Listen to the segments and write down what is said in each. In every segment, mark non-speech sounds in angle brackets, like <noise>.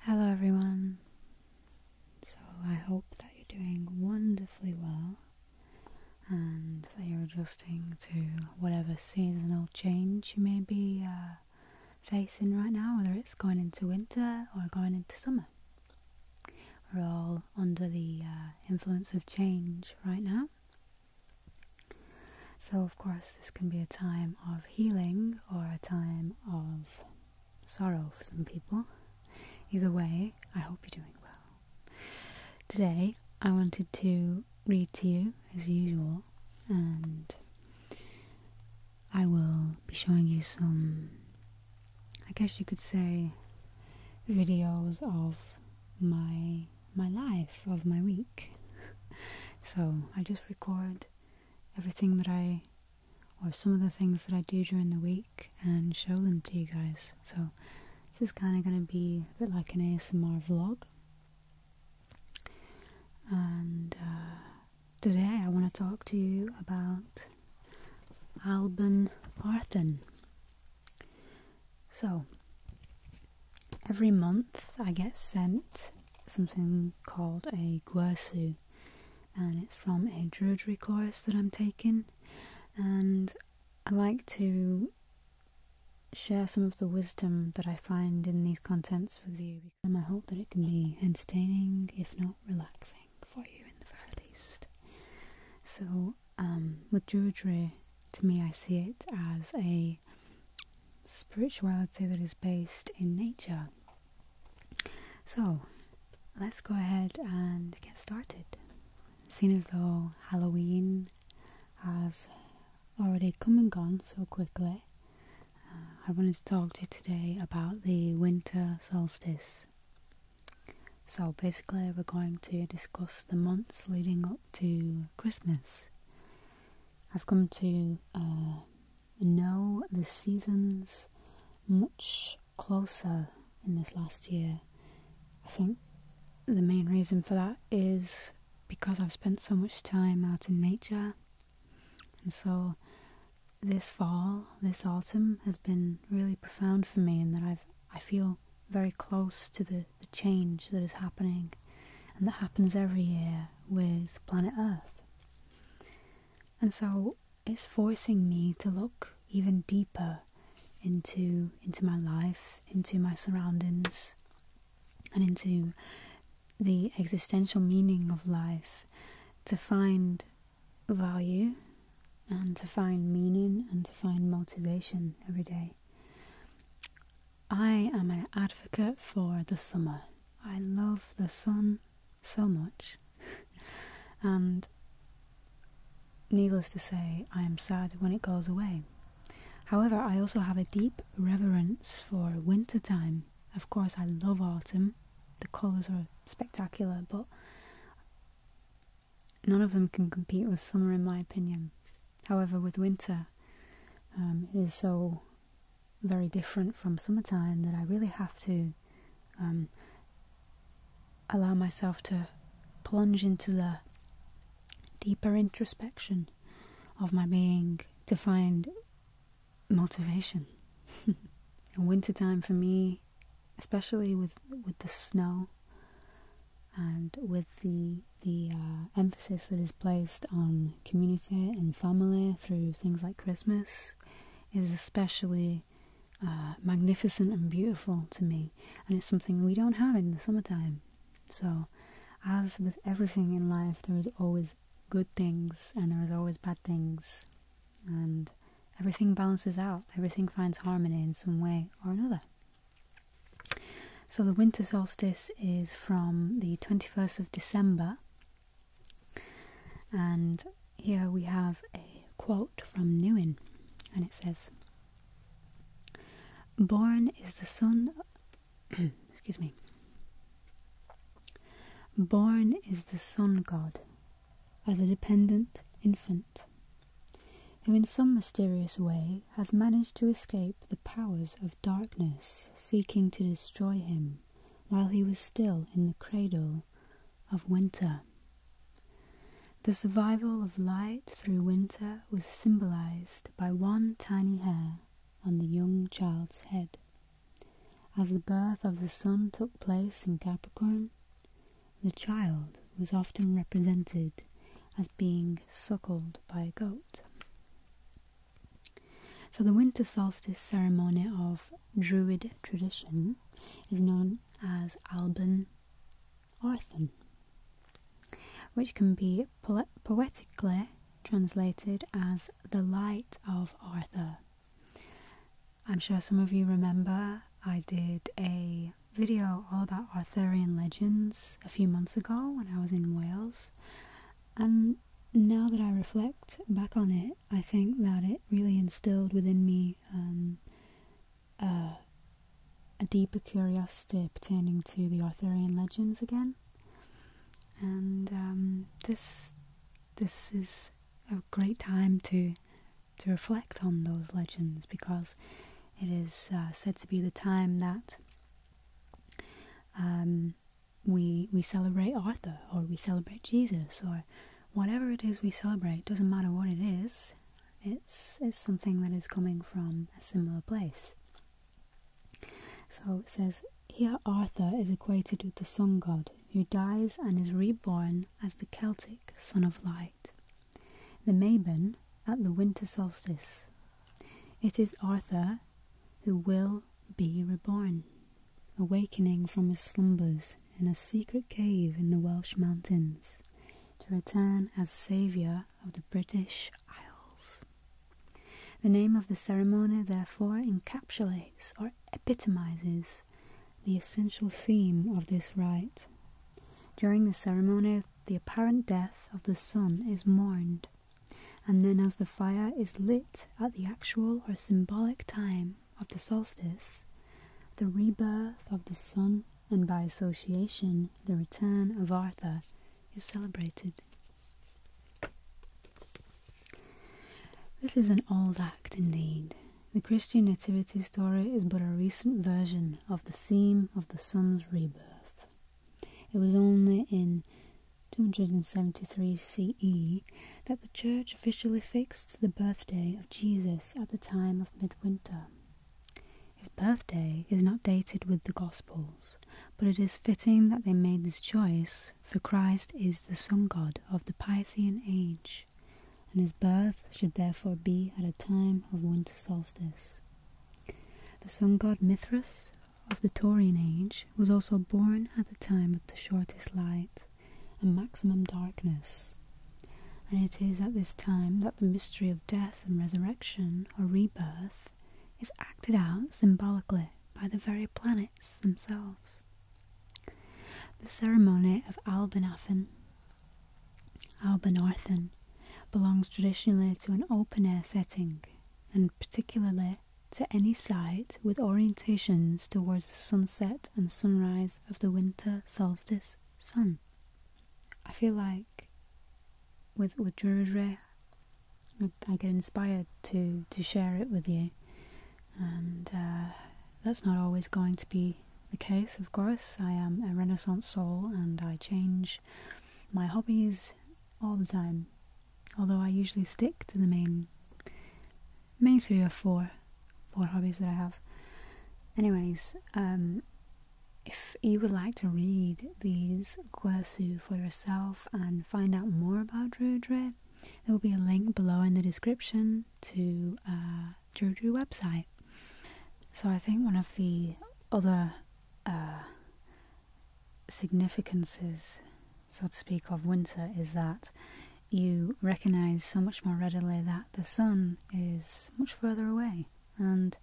Hello, everyone. So, I hope that you're doing wonderfully well and that you're adjusting to whatever seasonal change you may be uh, facing right now, whether it's going into winter or going into summer. We're all under the uh, influence of change right now. So, of course, this can be a time of healing or a time of sorrow for some people. Either way, I hope you're doing well. Today, I wanted to read to you as usual, and I will be showing you some, I guess you could say, videos of my my life of my week. <laughs> So I just record everything that I, or some of the things that I do during the week and show them to you guys. So this is kind of going to be a bit like an ASMR vlog. And uh, today I want to talk to you about Alban Arthen. So, every month I get sent something called a guersu, and it's from a druidry course that I'm taking, and I like to share some of the wisdom that I find in these contents with you, and I hope that it can be entertaining, if not relaxing, for you in the very least. So, um, with druidry, to me, I see it as a spirituality that is based in nature. So, let's go ahead and get started. Seeing as though Halloween has already come and gone so quickly, uh, I wanted to talk to you today about the winter solstice. So, basically, we're going to discuss the months leading up to Christmas. I've come to uh, know the seasons much closer in this last year. I think the main reason for that is because I've spent so much time out in nature, and so this fall, this autumn has been really profound for me in that I've I feel very close to the the, change that is happening and that happens every year with planet Earth. And so it's forcing me to look even deeper into into my life, into my surroundings, and into the existential meaning of life to find value and to find meaning and to find motivation every day. I am an advocate for the summer. I love the sun so much. <laughs> and needless to say, I am sad when it goes away. However, I also have a deep reverence for winter time. Of course, I love autumn. The colours are spectacular, but none of them can compete with summer, in my opinion. However, with winter, um, it is so very different from summertime that I really have to um, allow myself to plunge into the deeper introspection of my being to find motivation. <laughs> Winter time for me, especially with, with the snow, and with the the uh, emphasis that is placed on community and family through things like Christmas is especially uh, magnificent and beautiful to me, and it's something we don't have in the summertime. So, as with everything in life, there is always good things and there is always bad things, and everything balances out, everything finds harmony in some way or another. So the winter solstice is from the 21st of December, and here we have a quote from Newin, and it says, Born is the sun, <clears throat> excuse me, born is the sun god as a dependent infant who in some mysterious way has managed to escape the powers of darkness seeking to destroy him while he was still in the cradle of winter. The survival of light through winter was symbolized by one tiny hair on the young child's head. As the birth of the sun took place in Capricorn, the child was often represented as being suckled by a goat. So, the winter solstice ceremony of Druid tradition is known as Alban Orthan, which can be poetically translated as the light of Arthur. I'm sure some of you remember I did a video all about Arthurian legends a few months ago when I was in Wales, and now that I reflect back on it, I think that it really instilled within me um, a deeper curiosity pertaining to the Arthurian legends again. And um, this this is a great time to to reflect on those legends because it is uh, said to be the time that um, we we celebrate Arthur or we celebrate Jesus or whatever it is we celebrate. Doesn't matter what it is. It's it's something that is coming from a similar place. So it says here Arthur is equated with the sun god who dies and is reborn as the Celtic sun of light. The Maben at the winter solstice. It is Arthur who will be reborn, awakening from his slumbers in a secret cave in the Welsh mountains to return as saviour of the British Isles. The name of the ceremony therefore encapsulates or epitomizes the essential theme of this rite. During the ceremony, the apparent death of the sun is mourned, and then as the fire is lit at the actual or symbolic time of the solstice, the rebirth of the sun and by association the return of Arthur is celebrated. This is an old act indeed, the Christian nativity story is but a recent version of the theme of the sun's rebirth. It was only in 273 CE that the Church officially fixed the birthday of Jesus at the time of midwinter. His birthday is not dated with the Gospels, but it is fitting that they made this choice, for Christ is the sun god of the Piscean age and his birth should therefore be at a time of winter solstice. The sun god Mithras of the Taurian age was also born at the time of the shortest light and maximum darkness, and it is at this time that the mystery of death and resurrection or rebirth is acted out symbolically by the very planets themselves. The ceremony of Albanathan, Albanorthan, belongs traditionally to an open air setting and particularly to any site with orientations towards the sunset and sunrise of the winter solstice sun. I feel like with with Druidry, I, I get inspired to to share it with you and uh, that's not always going to be the case, of course. I am a Renaissance soul and I change my hobbies all the time, although I usually stick to the main, main three or four, four hobbies that I have. Anyways, um, if you would like to read these guasu for yourself and find out more about Drudre, there will be a link below in the description to uh, Jojo website. So I think one of the other uh, significances, so to speak, of winter is that you recognise so much more readily that the sun is much further away, and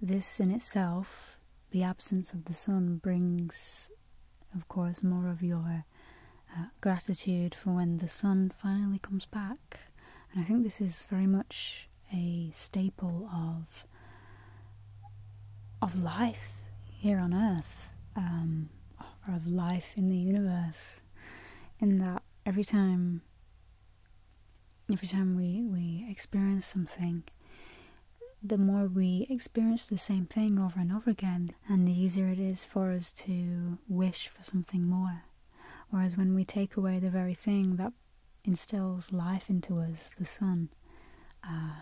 this in itself, the absence of the sun, brings, of course, more of your uh, gratitude for when the sun finally comes back. And I think this is very much a staple of of life here on Earth, or um, of life in the universe. In that every time, every time we we experience something, the more we experience the same thing over and over again, and the easier it is for us to wish for something more. Whereas when we take away the very thing that instills life into us, the sun, uh,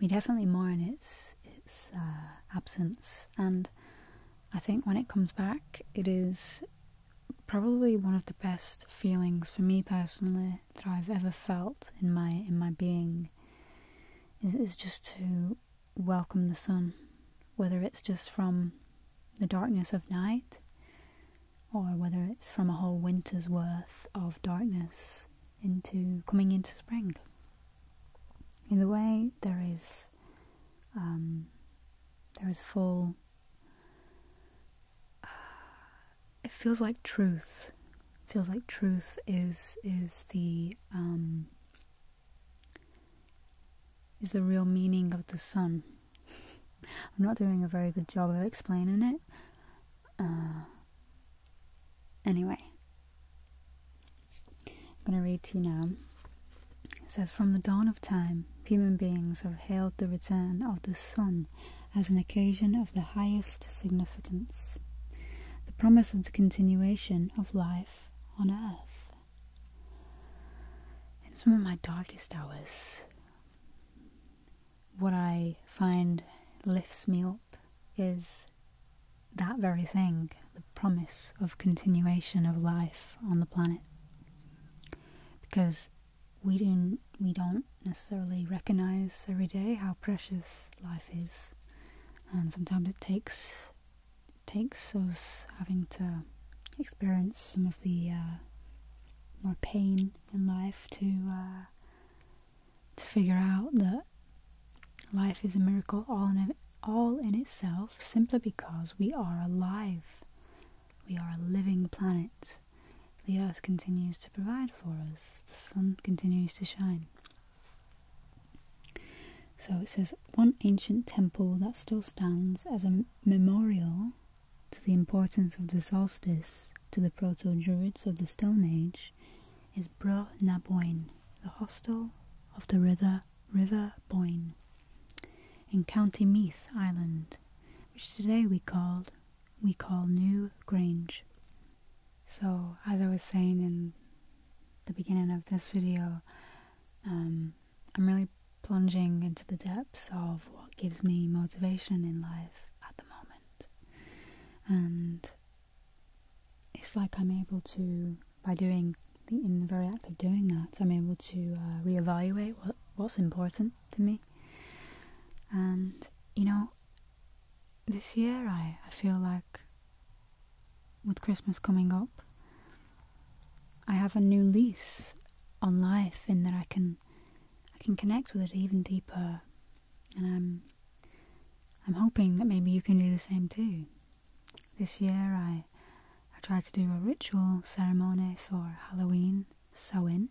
we definitely mourn its its uh, absence. And I think when it comes back, it is probably one of the best feelings for me personally that I've ever felt in my in my being. Is just to welcome the sun, whether it's just from the darkness of night or whether it's from a whole winter's worth of darkness into coming into spring. In Either way, there is um, there is full. <sighs> it feels like truth. It feels like truth is is the um, is the real meaning of the sun. <laughs> I'm not doing a very good job of explaining it. Uh, anyway, I'm going to read to you now. It says From the dawn of time, human beings have hailed the return of the sun as an occasion of the highest significance. The promise of the continuation of life on earth. In some of my darkest hours, what I find lifts me up is that very thing the promise of continuation of life on the planet. Because we don't necessarily recognize every day how precious life is and sometimes it takes takes us having to experience some of the uh, more pain in life to uh, to figure out that life is a miracle all in all in itself simply because we are alive. We are a living planet. The earth continues to provide for us. The sun continues to shine. So it says one ancient temple that still stands as a memorial to the importance of the solstice to the proto Druids of the Stone Age is Bro na the hostel of the river, river Boyne in County Meath, Ireland, which today we called we call New Grange. So, as I was saying in the beginning of this video, um, I'm really plunging into the depths of what gives me motivation in life at the moment. And it's like I'm able to, by doing in the very act of doing that, I'm able to uh, reevaluate what, what's important to me. And, you know, this year I, I feel like with Christmas coming up, I have a new lease on life in that I can I can connect with it even deeper, and I'm I'm hoping that maybe you can do the same too. This year I I tried to do a ritual ceremony for Halloween sew in,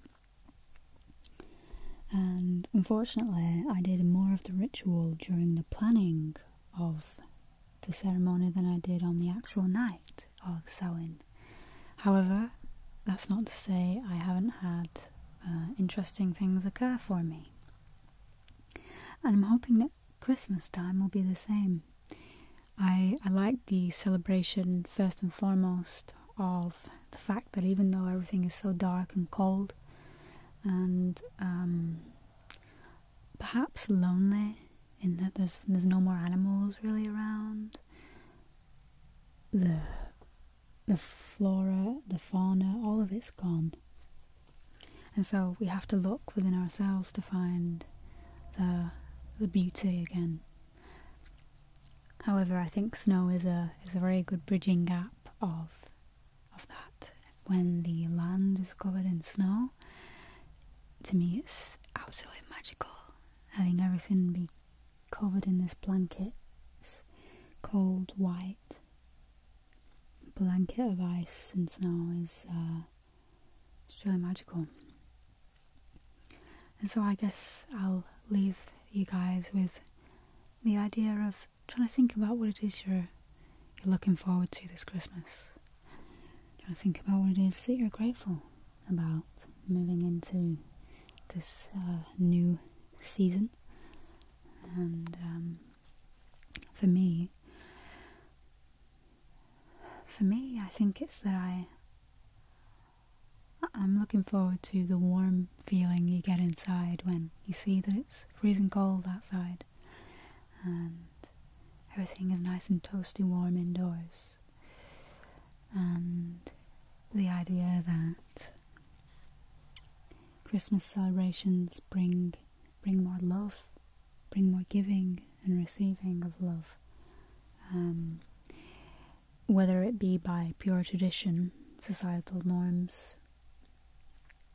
and unfortunately, I did more of the ritual during the planning of the ceremony than I did on the actual night of Samhain. However, that's not to say I haven't had uh, interesting things occur for me. And I'm hoping that Christmas time will be the same. I like the celebration first and foremost of the fact that even though everything is so dark and cold and um, perhaps lonely in that there's there's no more animals really around the the flora the fauna all of it's gone and so we have to look within ourselves to find the the beauty again however i think snow is a is a very good bridging gap of of that when the land is covered in snow. To me, it's absolutely magical having everything be covered in this blanket, cold white blanket of ice and snow is uh, truly magical. And so I guess I'll leave you guys with the idea of trying to think about what it is looking forward to this Christmas. Trying to think about what it is that you're grateful about moving into this uh, new season. And um, for me, for me, I think it's that I I'm looking forward to the warm feeling you get inside when you see that it's freezing cold outside and everything is nice and toasty warm indoors. And the idea that Christmas celebrations bring bring more love, bring more giving and receiving of love. Um, whether it be by pure tradition, societal norms,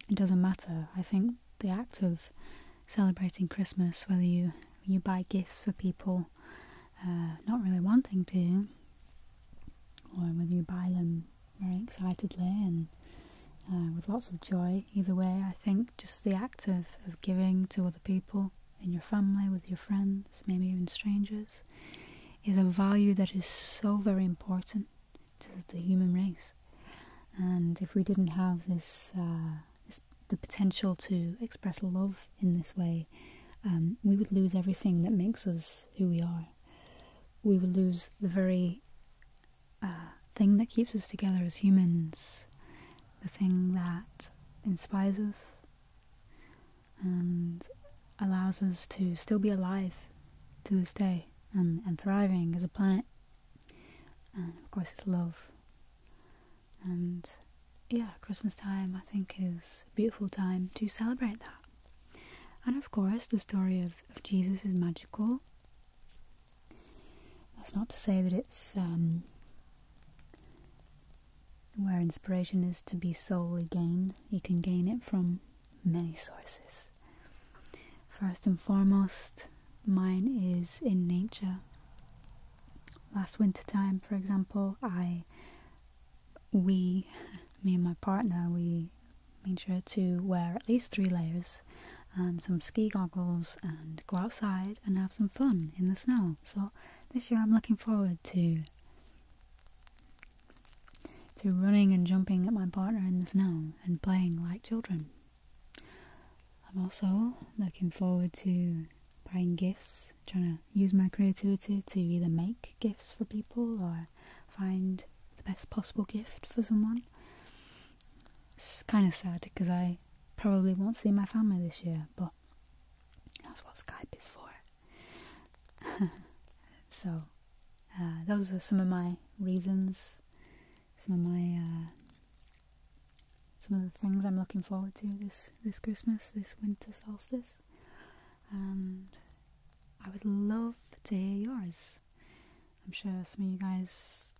it doesn't matter. I think the act of celebrating Christmas, whether you, you buy gifts for people uh, not really wanting to, or whether you buy them very excitedly and uh, with lots of joy. Either way, I think just the act of giving to other people in your family, with your friends, maybe even strangers, is a value that is so very important to the human race. And if we didn't have this, uh, the potential to express love in this way, um, we would lose everything that makes us who we are. We would lose the very uh, thing that keeps us together as humans, the thing that inspires us, and allows us to still be alive to this day and, and thriving as a planet. And of course, it's love. And yeah, Christmas time I think is a beautiful time to celebrate that. And of course, the story of, of Jesus is magical. That's not to say that it's um, where inspiration is to be solely gained, you can gain it from many sources. First and foremost, mine is in nature. Last winter time, for example, I, we, me and my partner, we made sure to wear at least three layers and some ski goggles and go outside and have some fun in the snow. So this year I'm looking forward to to running and jumping at my partner in the snow and playing like children. I'm also looking forward to buying gifts, trying to use my creativity to either make gifts for people or find the best possible gift for someone. It's kind of sad because I probably won't see my family this year, but that's what Skype is for. <laughs> so, uh, those are some of my reasons, some of my uh, some of the things I'm looking forward to this this Christmas, this winter solstice, and um, I would love to hear yours. I'm sure some of you guys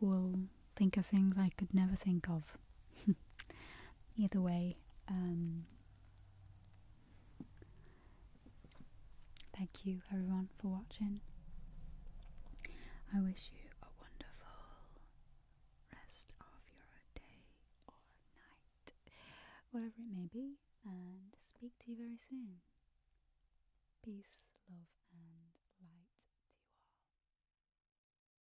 will think of things I could never think of. <laughs> Either way, um, thank you everyone for watching. I wish you a wonderful rest of your day or night, whatever it may be, and speak to you very soon. Peace, love, and light. to